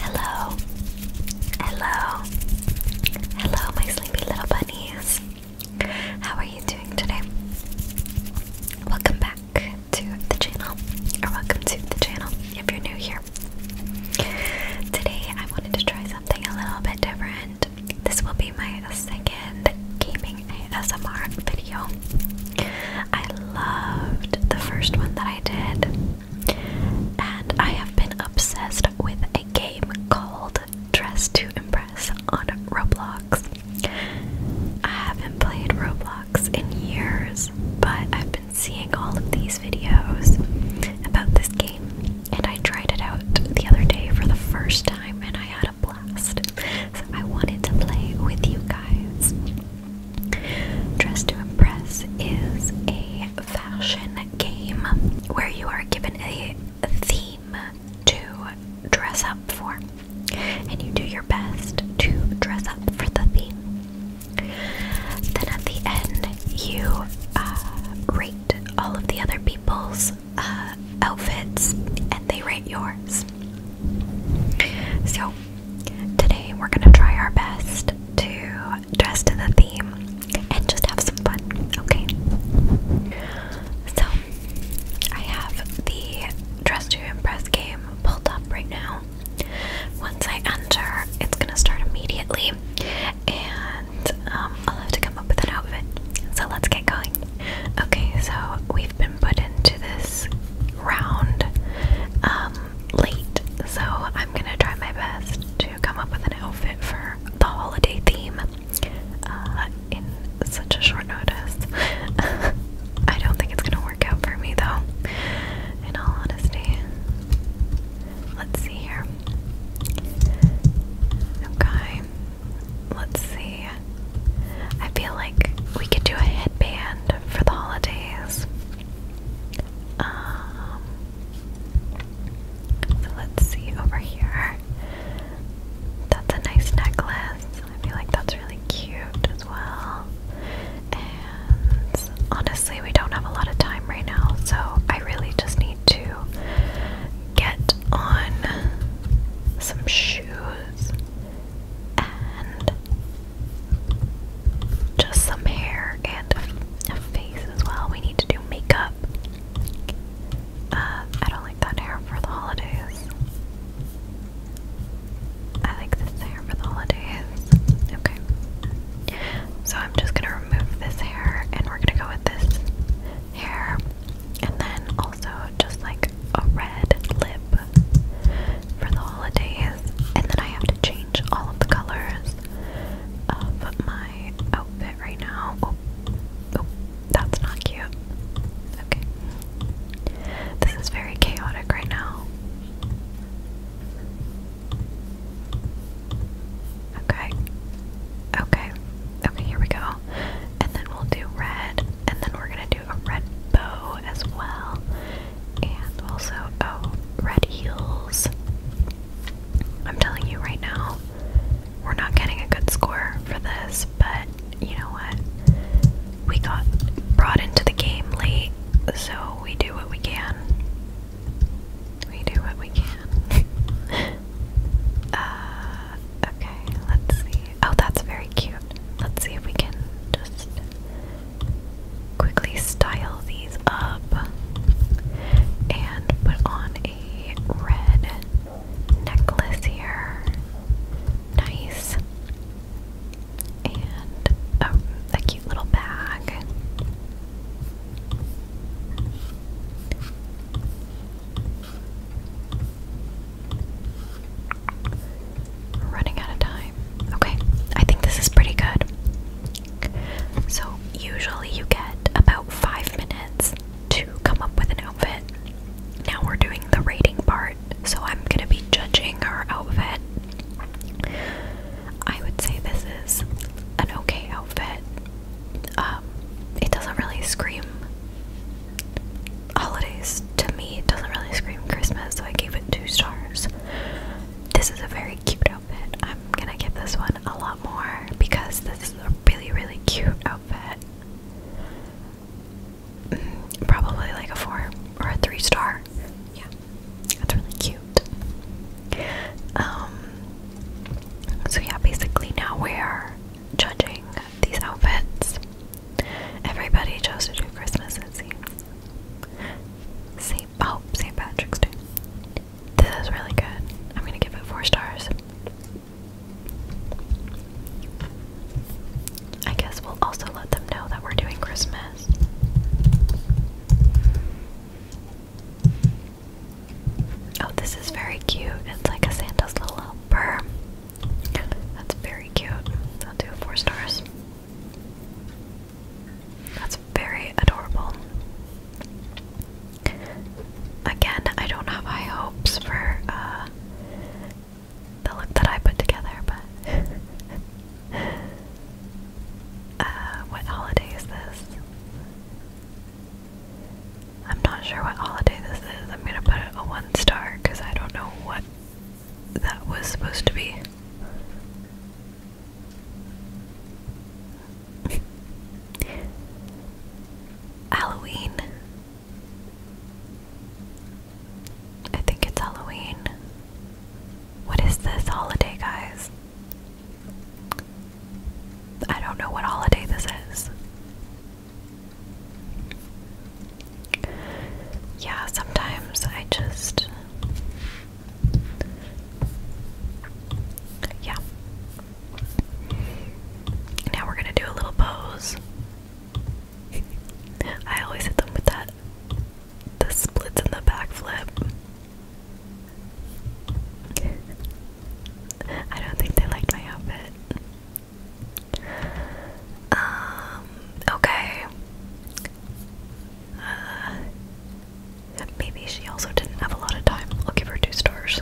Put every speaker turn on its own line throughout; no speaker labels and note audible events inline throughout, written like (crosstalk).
Hello, hello, hello, my sleepy little bunnies. How are you doing today? Welcome back to the channel, or welcome to the channel if you're new here. Today, I wanted to try something a little bit different. This will be my second gaming ASMR video. I loved the first one that I did. And I have been obsessed with a game called Dress to Impress on Roblox. I haven't played Roblox in years, but I've been seeing all of these videos about this game, and I tried it out the other day for the first time, and I had a blast. So I wanted to play with you guys. Dress to Impress is a fashion game where you are given a theme to dress up for, and you do your best to dress up for the theme. Then at the end, you uh, rate all of the other people's uh, outfits and they rate yours. So Today, we're gonna try our best to dress to the theme and just have some fun, okay? So, I have the Dress to Impress game pulled up right now. Once I enter, it's gonna start immediately, and um, I'll have to come up with an outfit. So, let's get going. Okay, so we've been put into this round. Um, late, so I'm gonna try my best to come up with an outfit for the holiday theme uh, in such a short notice. (laughs) I don't think it's gonna work out for me though, in all honesty. Let's see here. Okay, let's see. I feel like we could do a headband for the holidays. Um, so let's see over here. That's a nice necklace. I feel like that's really cute as well. And honestly, we don't have a lot of time right now, so I really just need to get on some shoes and just some hair and a, face as well. We need to do makeup. Uh, I don't like that hair for the holidays. I like this hair for the holidays. Okay. So I'm just gonna remove this hair and we're gonna go with this hair. And then also just like a red lip for the holidays, and then I have to change all of the colors of my outfit right now. Oh, oh, that's not cute. Okay. This is very chaotic right now. Okay. Okay. Okay, here we go. And then we'll do red, and then we're gonna do a red bow as well. And also, oh, red heels. I'm telling you right now, we're not getting a good score for this, but you know what? We got brought into the game late, so we do what we can. We do what we can. (laughs) uh, okay, let's see. Oh, that's very cute. Let's see if we can just quickly style these up and put on a red necklace here. Nice. And oh, a, cute little bag running out of time. Okay, I think this is pretty good. So, usually you get about five minutes to come up with an outfit. Now we're doing the rating part, so I'm gonna be judging our outfit. I would say this is an okay outfit. Um, it doesn't really scream holidays to me. It doesn't really scream Christmas, so I gave it two stars this is a very cute outfit. I'm gonna give this one a lot more because this is a really, really cute outfit. Mm, probably like a four or a three star. Yeah, that's really cute. Um, so yeah, basically now we're judging these outfits. Everybody chose to do Christmas, it seems. St. Oh, St. Patrick's This is really good. I'm gonna give it four stars. I guess we'll also let them know that we're doing Christmas. Oh, this is very cute. It's like a Santa's little helper. That's very cute. I'll do four stars. That's very adorable. Again, I don't have high hopes for uh, the look that I put together, but. (laughs) Uh, what holiday is this? I'm not sure what holiday this is. I'm gonna put a one star because I don't know what that was supposed to be. Halloween. I think it's Halloween. What is this holiday, guys? I don't know what holiday this is. Yeah, sometimes I just yeah. Now we're gonna do a little pose. (laughs) I always hit them with that the splits and the backflip. I don't think they liked my outfit. Um, okay. Uh, maybe she also didn't have a lot of time. I'll give her two stars.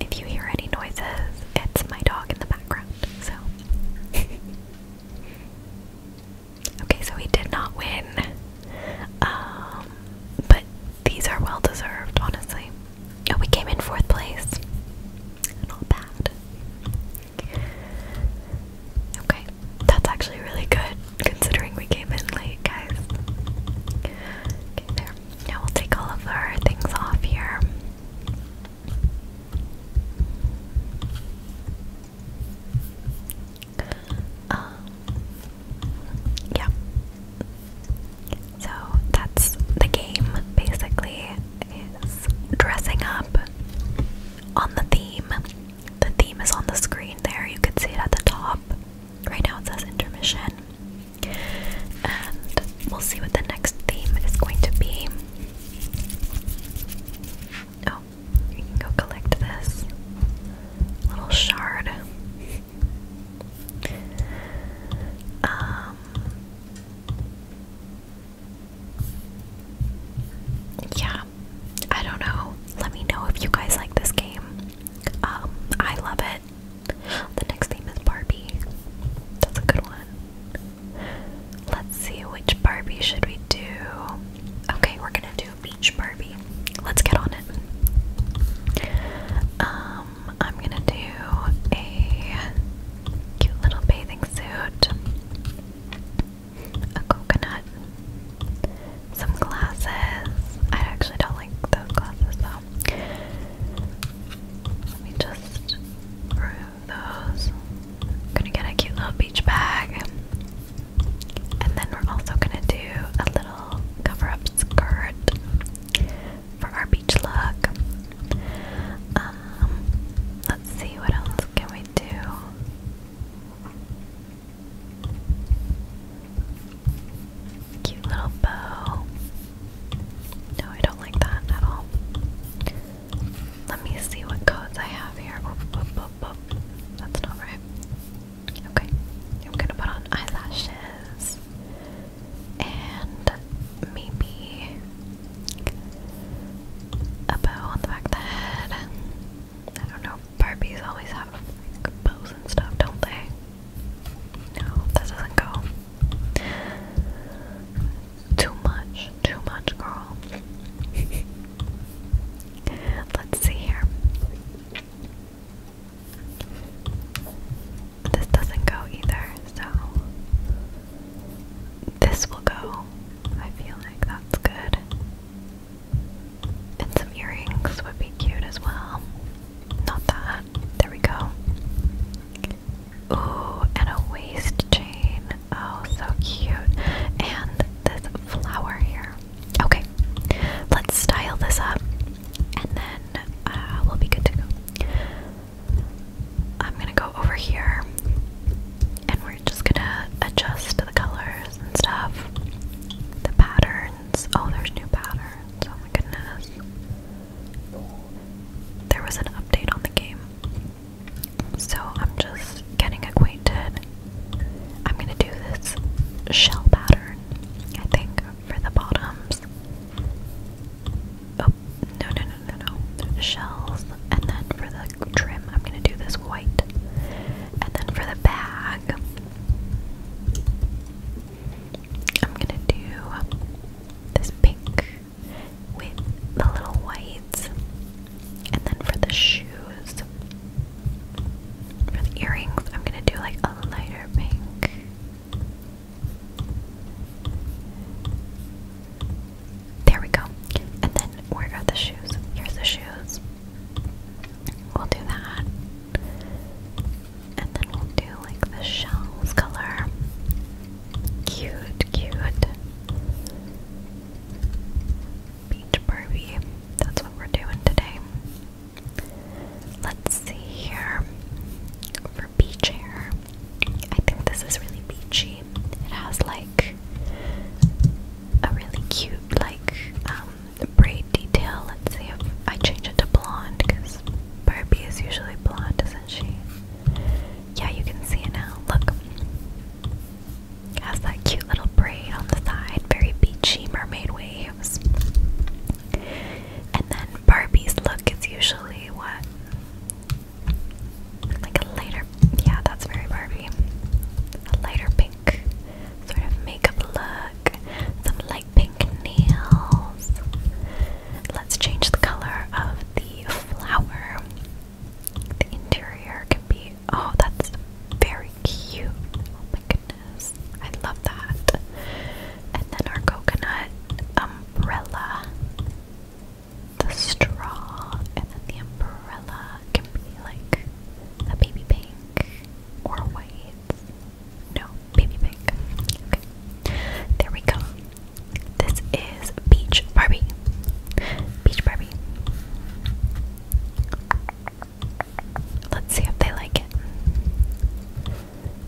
If you hear any noises, it's my dog in the background, so. (laughs) okay, so we did not win. Um, but these are well deserved, honestly. Oh, we came in fourth place. Not bad. Okay, that's actually really good considering we came in late, guys. Okay, there. Now we'll take all of our things off here. Um, yeah. So that's the game basically is dressing up on the theme. The theme is on the screen there. You can see it at the top. Right now it says intermission. And we'll see what the next theme is going to be. Oh, you can go collect this little shard. Um yeah, I don't know. Let me know if you guys like this game. Um, I love it. The next theme is Barbie. That's a good one. Let's see which Barbie should we do. Okay, we're gonna do Beach Barbie. Let's get on it. Um I'm gonna do a cute little bathing suit, a coconut, some glasses. I actually don't like those glasses though. Let me just remove those. gonna get a cute little beach bag. And then we're also gonna do a little cover up skirt for our beach look. Um, let's see what else can we do. Cute little bow. No, I don't like that at all. Let me see what codes I have here. That's not right. Okay, I'm gonna put on eyelashes and maybe a bow on the back of the head. I don't know, Barbies always have bows and stuff, don't they? No, that doesn't go. Too much, too much, girl. (laughs) Let's see here. This doesn't go either, so this will go. I feel like that's good. And some earrings would be cute as well. Not that. There we go. Ooh, and a waist chain. Oh, so cute. And this flower here. Okay, let's style this up and then uh, we'll be good to go. I'm gonna go over here and we're just gonna adjust the colors and stuff. The patterns. Oh, there's new patterns. Oh my goodness. There was an update on the game. So I'm just getting acquainted. I'm gonna do this shell pattern, I think, for the bottoms. Oh, no, no, no, no, no. Shells. And then for the trim, I'm going to do this white. And then for the bag, I'm going to do this pink with the little whites. And then for the shoes, for the earrings, I'm going to do like a lighter pink. There we go. And then where are the shoes? Here's the shoes. We'll do that. And then we'll do like the shells color. Cute, cute. Beach Barbie. That's what we're doing today. Let's see here. For beach hair, I think this is really beachy. It has like a really cute like um, braid detail. Let's see if I change it to blonde because Barbie is usually blonde, isn't she? Yeah, you can see it now. Look. It has that cute little braid on the side, very beachy mermaid waves. And then Barbie's look is usually what? Like a lighter, yeah, that's very Barbie. A lighter pink sort of makeup look. Some light pink nails. Let's change the color of the flower. The interior can be. Oh, that's very cute. Oh my goodness. I love that. And then our coconut umbrella the straw and then the umbrella can be like a baby pink or white. No, baby pink. Okay. There we go. This is Beach Barbie. Beach Barbie. Let's see if they like it.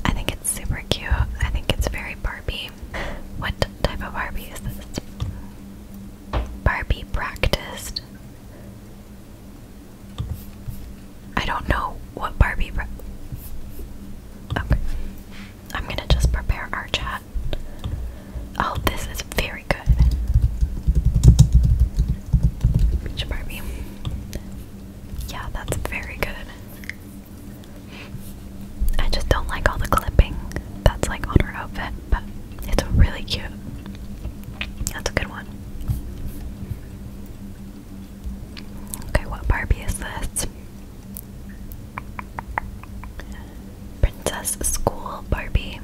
I think it's super cute. I think it's very Barbie. What type of Barbie is this? Barbie practiced. I don't know what Barbie. Okay. I'm gonna just prepare our chat. Oh, this is very good. Beach Barbie. Yeah, that's very good. I just don't like all the clipping that's like on her outfit, but it's really cute. That's a good one. Okay, what Barbie is this? Princess School Barbie.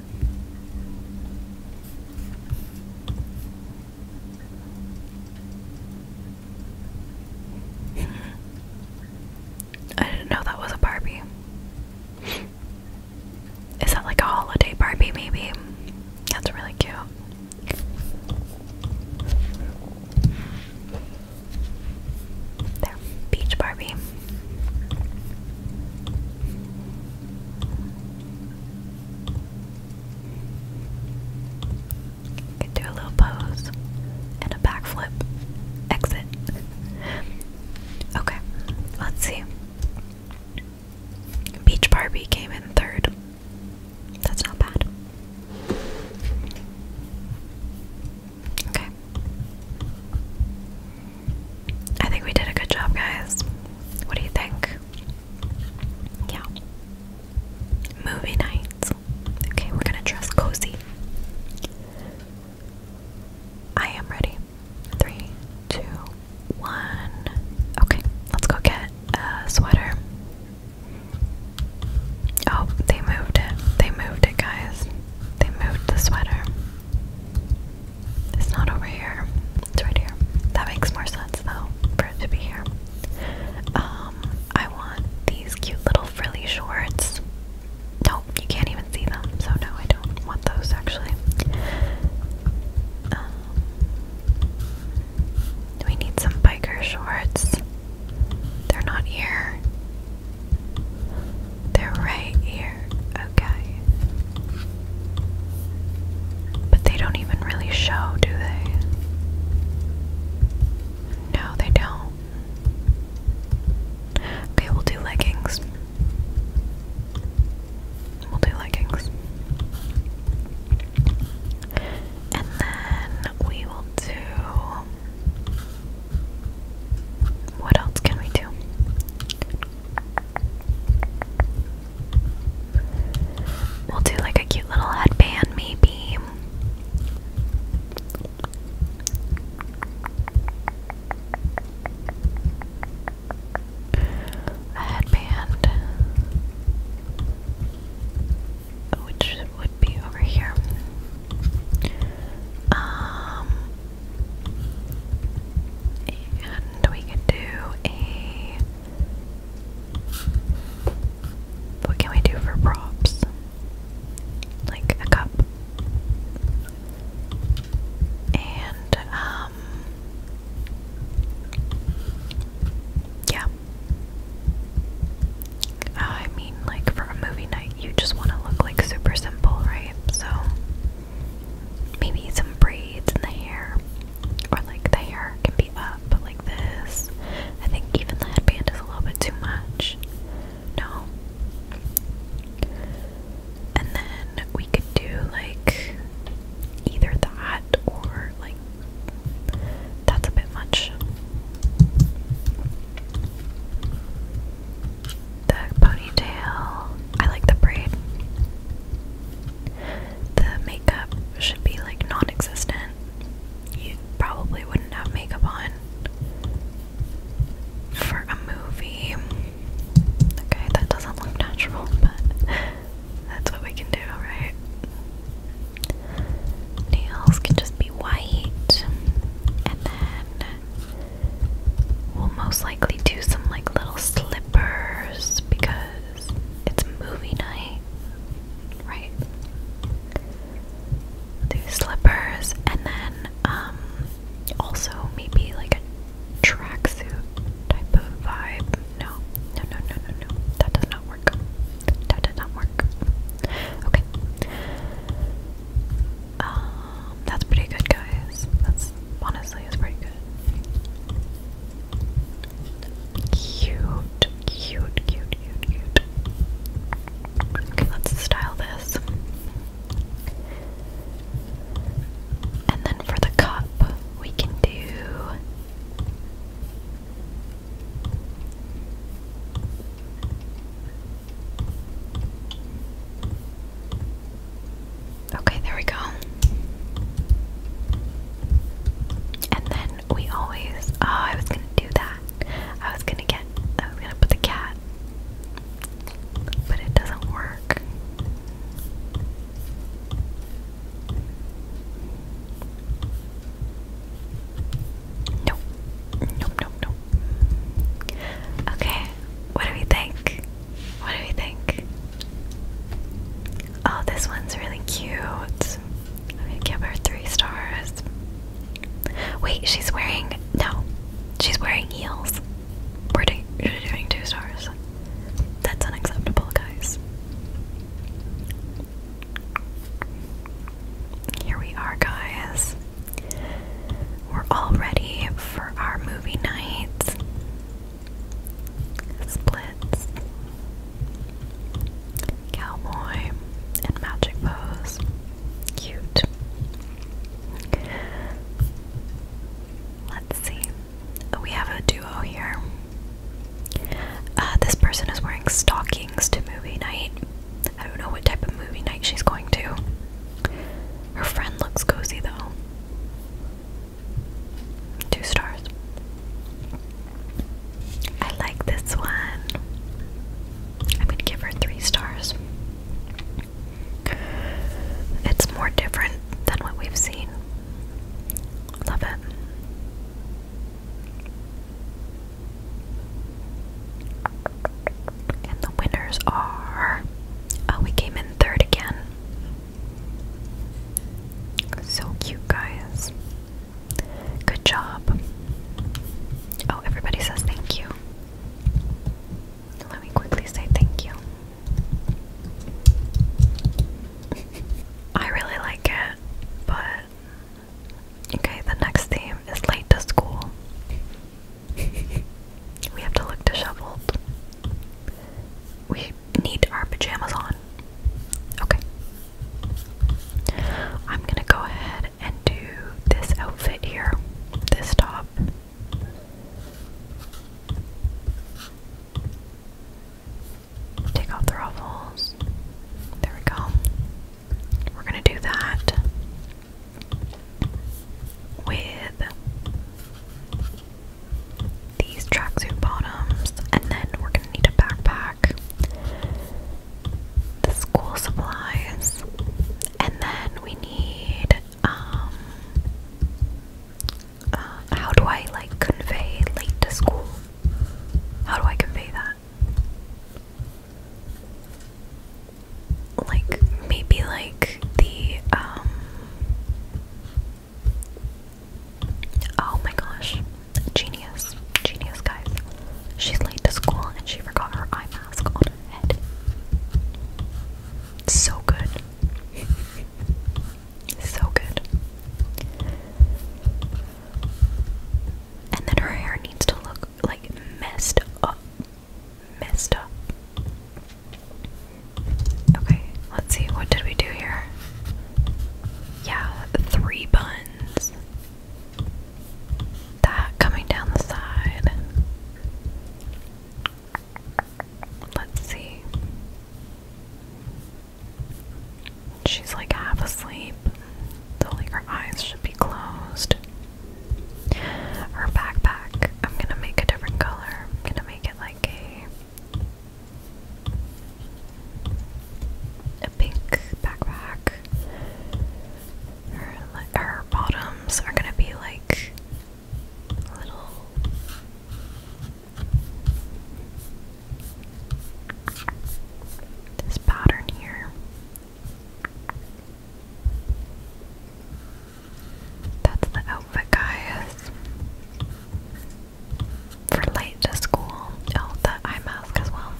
I didn't know that was a Barbie. Is that like a holiday Barbie, maybe? That's really cute. There, Beach Barbie do a little pose and a backflip. Exit. okay, let's see. Beach Barbie came in third. That's not bad. Okay. I think we did a good job, guys. What do you think? Yeah. Movie night. Okay, we're gonna dress cozy. I am ready. Three, two, one. Okay, let's go get a sweater. Oh, they moved it. They moved it, guys. They moved the sweater. It's not over here. It's right here. That makes more sense, though, for it to be here. Um, I want these cute little frilly shorts. Nope, you can't even see them, so no, I don't want those actually. Um, we need some biker shorts. They're not here. They're right here. Okay. But they don't even really show, do they? No, they don't. Okay, we'll do leggings. We'll do leggings. And then we will do. What else can we do? We'll do like a cute little headband, maybe a headband, which would be over here. Um, and we could do a what can we do for props? Like a cup. And, um, yeah. Uh, I mean, like, for a movie night, you just want to look like super simple, right? So, maybe some braids in the hair, or like the hair can be up, but this. I think even the headband is a little bit too much. No. And then we could do like either that or like that's a bit much. The ponytail. I like the braid. The makeup should be like non existent you probably wouldn't have makeup on for a movie. Okay, that doesn't look natural, but (laughs) that's what we can do, right? Nails can just be white, and then we'll most likely do some like little slippers because it's movie night, right? two slippers, and then um, also maybe like a tracksuit type of vibe. No, no, no, no, no, no. That does not work. That did not work. Okay. Um, that's pretty good, guys. That's honestly is pretty good. Cute, cute, cute, cute, cute. Okay, let's style this. And then for the cup, we can do Okay, there we go. And then we always. Oh, I was gonna do that. I was gonna get. I was gonna put the cat. But it doesn't work. Nope. Nope, nope, nope. Okay, what do we think? What do we think? Oh, this one's really cute. I'm gonna give her three stars. Wait, she's wearing no, she's wearing heels. We're doing, we're doing two stars. That's unacceptable, guys. Here we are, guys. We're all ready for our movie night. Splits cowboy, and magic pose. Cute. Let's see. We have a duo here. Uh, this person is wearing stockings to movie night. I don't know what type of movie night she's going to. Her friend looks cozy though. Two stars. I like this one. I'm gonna give her three stars. It's more different than what we've seen. Love it. And the winners are. Oh, we came in third again. So cute, guys. Good job. Oh, everybody says thank you. Let me quickly say thank you. I really like it, but. Okay, the next theme is late to school. (laughs) we have to look disheveled. We need our pajamas on. Okay. I'm gonna go ahead and do this outfit here, this top. Take off the ruffles. There we go. We're going to do that with these tracksuit bottoms, and then we're going to need a backpack the school supplies, and then we need um uh, how do I like convey late to school? How do I convey that? Like maybe like the um, oh my gosh Genius. Genius, guys. She's late to school and she forgot her eye mask on her head. So good. (laughs) so good. And then her hair needs to look like messed up. Messed up. Okay, let's see. What did we do here? Yeah, three buns. That coming down the side. Let's see. She's like half asleep. So her eyes should be closed. Her backpack, I'm gonna make a different color. I'm gonna make it like a pink backpack. Her, bottoms are gonna be like little this pattern here. That's the outfit, guys. For late to school. Oh, the eye mask as well.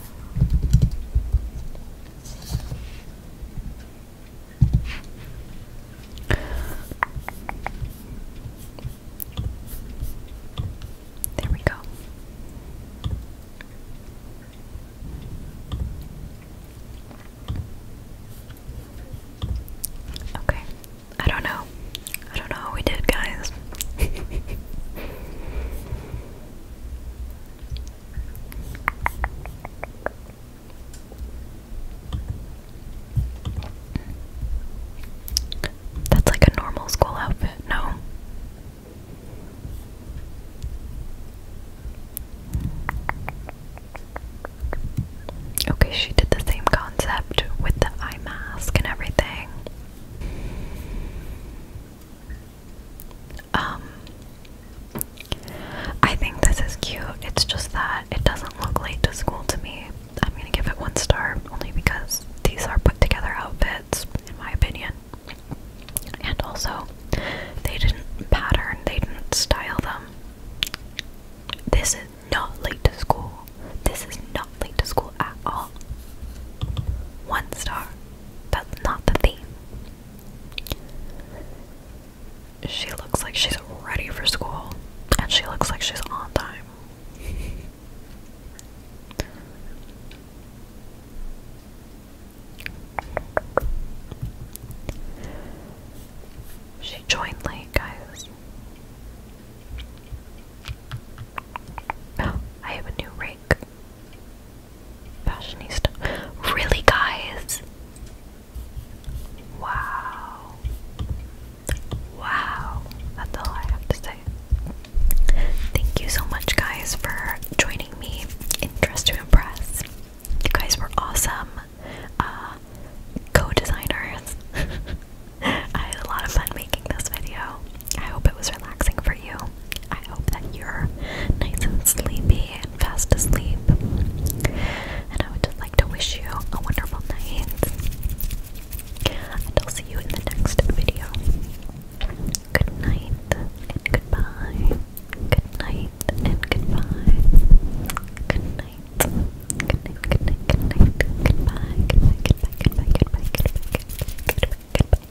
There we go. Okay. I don't know. I don't know how we did, guys. (laughs) That's like a normal school outfit, no? Okay, she did the same concept with the eye mask and everything. Um, I think this is cute. It's just that it doesn't look late to school to me. I'm gonna give it one star only because these are put together outfits, in my opinion. And also, they didn't pattern, they didn't style them. This is not late to school. This is not late to school at all. One star. That's not the theme. She looks like she's ready for school, and she looks like she's on time. She joined late, guys. Oh, (gasps) I have a new rake. Fashionista. Really, guys? Wow. Wow. That's all I have to say. Thank you so much, guys, for joining me in Dress to Impress. You guys were awesome. Uh, co designers. (laughs) I had a lot of fun making this video. I hope it was relaxing for you. I hope that you're nice and sleepy and fast asleep. And I would just like to wish you a wonderful night. And I'll see you in the next video. Good night and goodbye. Good night and goodbye. Good night. Good night, good night, good night. Goodbye, goodbye, goodbye, goodbye, goodbye, goodbye, goodbye, goodbye. goodbye, goodbye.